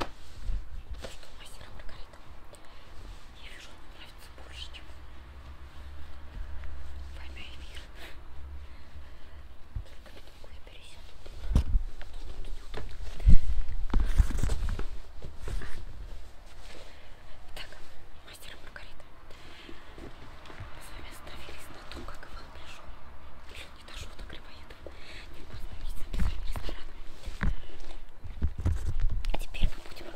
То, что мастера Маргарита. Я вижу, она нравится больше, чем война и мир. Только на другую пересяду. Так, мастера Маргарита. Мы с вами остановились на том, как Иван пришел не дошел до грибоеда. Не поздно видеться обязательно ресторана. Теперь мы будем э,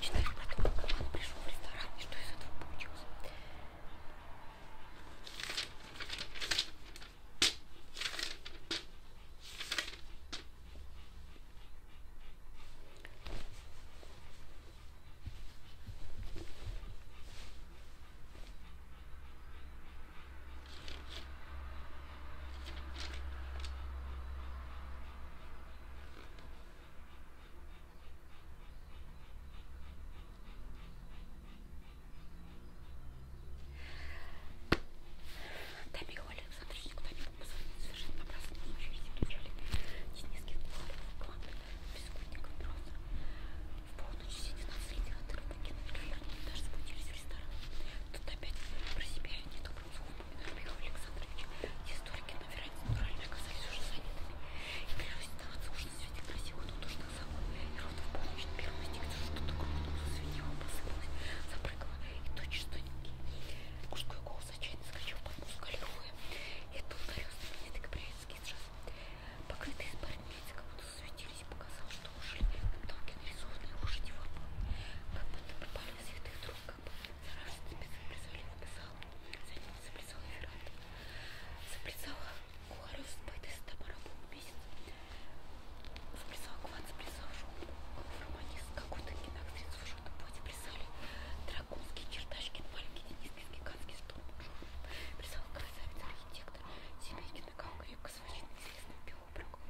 читать про то, как он пришел в ресторан и что из этого получилось. Да, Михаил Александрович, никуда не мог позвонить, совершенно напрасно, но еще и включали из низких планов, планов бескутников просто. В полночь сидит на среди отрывки, например, даже спустились в ресторан. Тут опять про себя недобрым словом упоминаю Михаила Александровича. Те столики на веранде натурально оказались уже занятыми. И клянусь, оставаться уж на свете красиво, но тоже так само. И ровно в полночь первый стих что-то громко засветило, посыпалось, запрыгало. И тотчас тоненький мужской голос отчаянно скачал под музыку Аллилуйя. И тут ударился меня так приятский джаз покрытые спарницы, как будто засветились, показал, что ушли тонко нарисованные лошади в как будто попали в святых друг, как бы зараженный заплясали в писал, за ним заплясала Феррат. Заплясала Куарев с Бэтой с Тамарабом месяц. Заплясала Кван, заплясал Жон, Романис, какой-то кинак, средств в жёлтом поте плясали. Драконские, чердачки, маленькие, Денискинские, американский стол журнал писал красавец-архитектор Семейкин, как крепко сводчен известным биобрагом.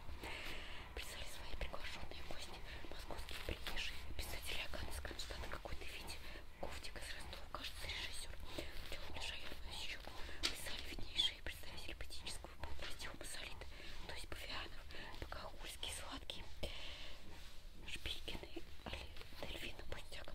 Писали свои приглашенные гости, московские приезжие, писатели Агана Скронштадта, какой-то Витя, Ковтик из Ростова, кажется, режиссер. Теодор Шаян а еще писали виднейшие представители патического подразделения Массолита, то есть Павианов, Богохульский, Сладкий, Шпилькин и Дельфина Пустяк.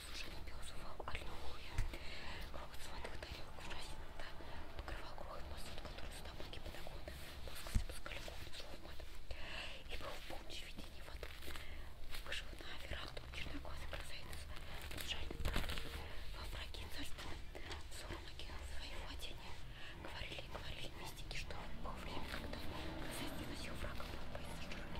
сушеный пес увал аллилуйя. Грохот сватых тарелок ужасен, да, покрывал грохот посуд, который с табуки подогона пускался пускали кухню слов матом. И был в полночь видение в аду. Вышел на веранду черноглазый красавец с жальным братом. Во враге царственным взором окинул свои владения. Говорили и говорили мистики, что было время, когда красавец носил врага, был боится, что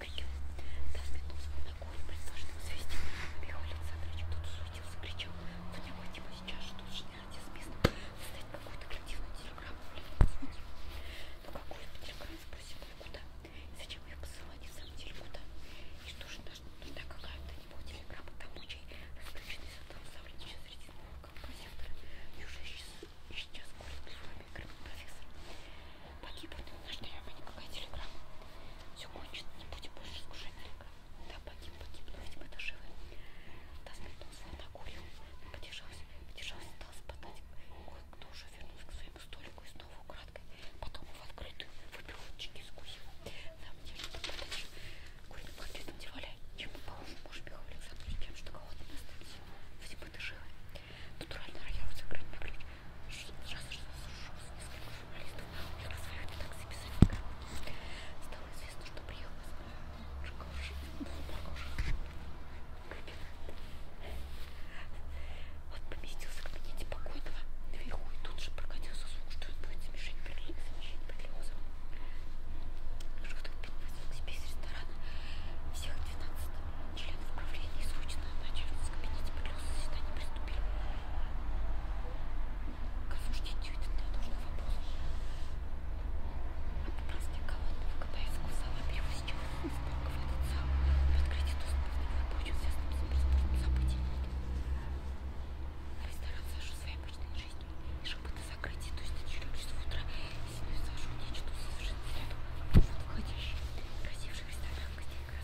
нескольким дав минутку ногой придвижным свистем. Михаил Александрович тут шутил, закричал, что необходимо типа, сейчас штучный артисмизм создать какую-то коллективную телеграмму. Но «Ну, какую телеграмму спросил я «Ну, куда? И зачем ее посылать и в самом деле куда? И что же нужна какая-то него телеграмма тому, чей расплющенный сатан сотрудничает среди нового композитора? Неужели сейчас, сейчас курит клювами профессор? Погиб он, наш дряба, никакая телеграмма. Все кончено, не будем больше скушать нарека. Да, погиб, погиб, но ведь мы-то живы. Да, сметнулся, накурил, подержался, подержался, дал спадать. Кое-кто уже вернулся к своему столику и снова украдкой. Потом в открытую выпил чеки скусил. Нам держит подачу. Курит в открытом девале. Чем мы поможем, может, Михаил Александрович, тем, что кого-то не оставить. Ведь мы-то живы. Натуральный роял сыграть на ключ. Сразу же зашел с нескольких журналистов. Я на своих такси писали. Стало известно, что прием из Жуковши был похож. Он поместился в кабинете покойного наверху и тут же прокатился слух, что он будет замещать Берлиоза. Жух так переносил к себе из ресторана всех 12 Член управления и срочно начальник в кабинете подлился заседание приступил к осуждению неотложных вопросов. От праздника колонны в КПС Кусала перевозчик из банкового лица открытие доступа в него прочим связанным с преступным событием. Ресторан Сашу своей обычной жизнью и шепоты закрытия, то есть на 4 часов утра и семью Сашу нечто совершенно рядом. Входящий, красивший ресторан, где игра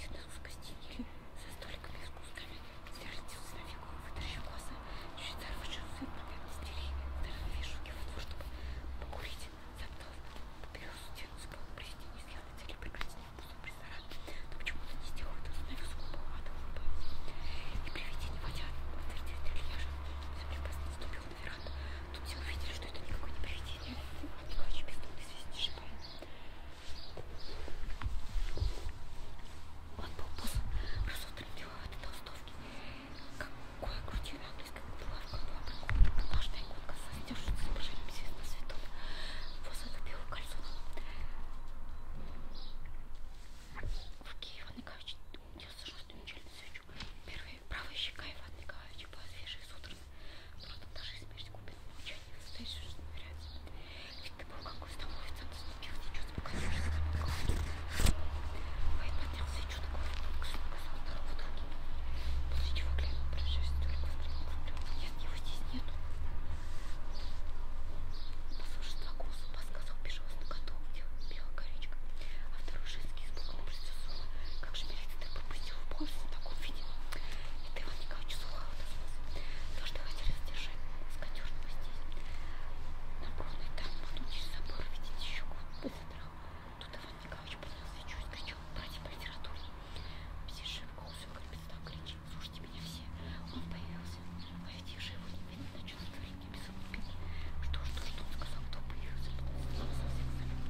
Чудо с гостинили за столиками с кусками. Сверзился на фигуру, вытащил глаза. Чуть зарвавшился на стилей. Зарвавшись руки в воду, чтобы покурить. Заптал, поберез стену, спал, прийти не сделал цели прекратить вкусом ресторан. Но почему-то не сделал это, остановился глупого ада улыбаясь. И привидение водя подтвердил трильяжа. Заплепас наступил на веранду. Тут все увидели, что это никакое не привидение. А не хочу бездумно свистишь, он был босс, присутствовал этой толстовки. Какое крутило английская булавка была прикольная. Однажды иконка создержит с изображением на цветов. После белого кольцона. В руке Иван Николаевич нес зажженную мечельную свечу. Первая правая щека Ивана Николаевича была свежей с утра Просто даже смерть купит молчание, стоишь, что нравится. Ведь ты был как становится, ты ступил, ты чувство касаешься, как голове. Вайт поднялся и чудо говорит, как шум казал в итоге. После чего глянул, прожившись только взглянул к рублю. Нет, его здесь нету. Послушай два голоса, подсказал пижос на коту, где белая коричка. А второй женский испуганно присутствовал. Как же милиция ты пропустил в полосе в таком виде? Михаил Николаевич Сухаров. То, что хотели сдержать с Катюшей здесь. Наборный там, потом через забор, видите, еще быстро. Тут Иван Николаевич поднялся и чуть кричал, братья по литературе. Все шибко, все как перестал кричать, слушайте меня все. Он появился, а ведь их же его не видно, на черном дворе, не без Что ж, то, что он сказал, кто появился, потом совсем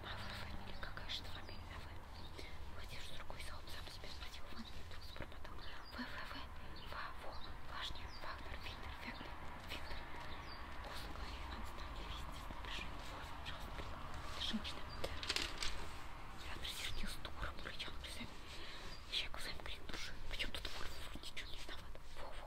Мавра фамилия, какая же фамилия ВВ? Э, Владимир другой салон сам себе спросил, Ван вдруг спромотал. ВВВ, ВАВО, Важнер, Вагнер, Винтер, Вегнер, Винтер. После говорит, Иван стал невесте с напряжением голосом жалостным. Женщина. Я присердил с тукором, рычал, присоединил. Я глазами крик души. Почему тут Вольф ничего не виноват? Вова,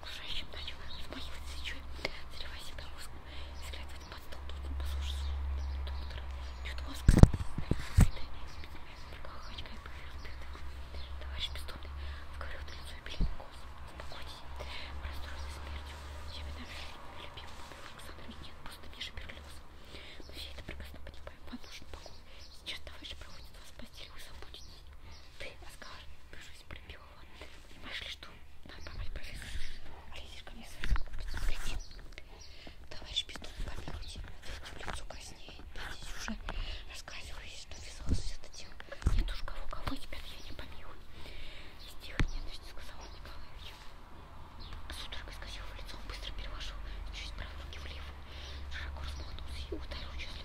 окружающим начал взмахивать свечой, заливая себя воском, взглядывать под стол, тут он послушал доктора, чуть воск, прокахачкой повернутый. Товарищ бессонный, говорил это лицо и белину голос. Успокойтесь, мы расстроены смертью. Я вина любим, помер Александр Минин, просто Миша перелез. Мы все это прекрасно понимаем, вам нужен покой. Сейчас товарищ проводит вас в постель, вы заблудитесь. Ты, Оскар, ты же справедливого. Понимаешь ли, что надо поймать повеса? А лезешь ко мне своим купицам, кретин. Товарищ Петун, помилуйте, ответьте в лицо краснее. Я здесь уже рассказываюсь, что ввязалось это дело. Нет уж кого-кого, ребят, я не помилую. Из тихой ненависти сказал Николаевич. Судорога исказил в лицо, он быстро переложил через правую руки влево. Широко размахнулся и ударил число.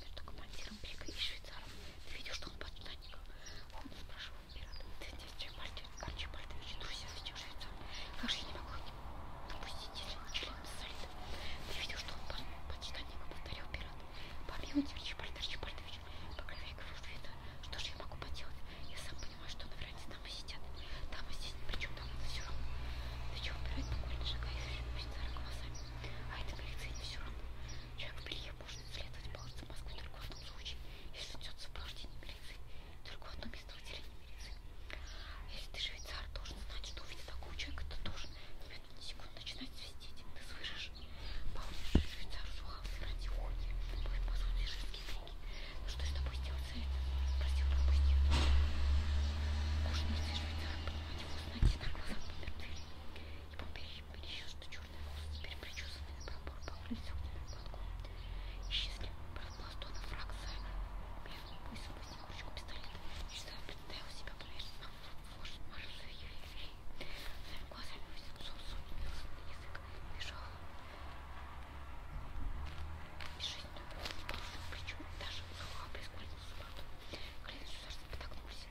между командиром Бека и швейцаром. Ты видишь, что он подстанник? Он спрашивал пирата. Ты здесь Арчибальдович, друзья, зачем швейцар? Как же я не могла допустить член солида? Ты видел, что он подстанник? Повторял пират. Помилуйте, Арчибальд Арчибальдович. Пока я говорю, что это, что же я могу поделать? Я сам понимаю, что на веранде там и сидят. Там и здесь, причем там это все равно. Ты чего, пират, буквально шагает швейцара глазами? А это коллекция не все равно. Человек в белье может следовать полосы Москвы только в том случае, если идет сопровождение милиции. Только в одном местном отделении милиции. Если ты швейцар, должен знать, что увидя такого человека, ты должен немедленно секунду начинать свистеть. Ты слышишь? Помнишь, швейцар сухал ради уходи. Твои посуды женские деньги. Ну что с тобой сделать за это? Спросил пропустил. Кожаный швейцар, понимать его, знать на глазах помертвели и был перечесан черный волос, теперь причесанный на пробор, покрылся огненным балком. Исчезли пластона фраг за белым поясом, возник ручку пистолета. Часов представил себя поверхностно, может, может, ювелирии. Своими глазами высунул сунул язык, бежал. Бежит, но причем даже сухо прискользил с борту. Клянусь, что потокнулся.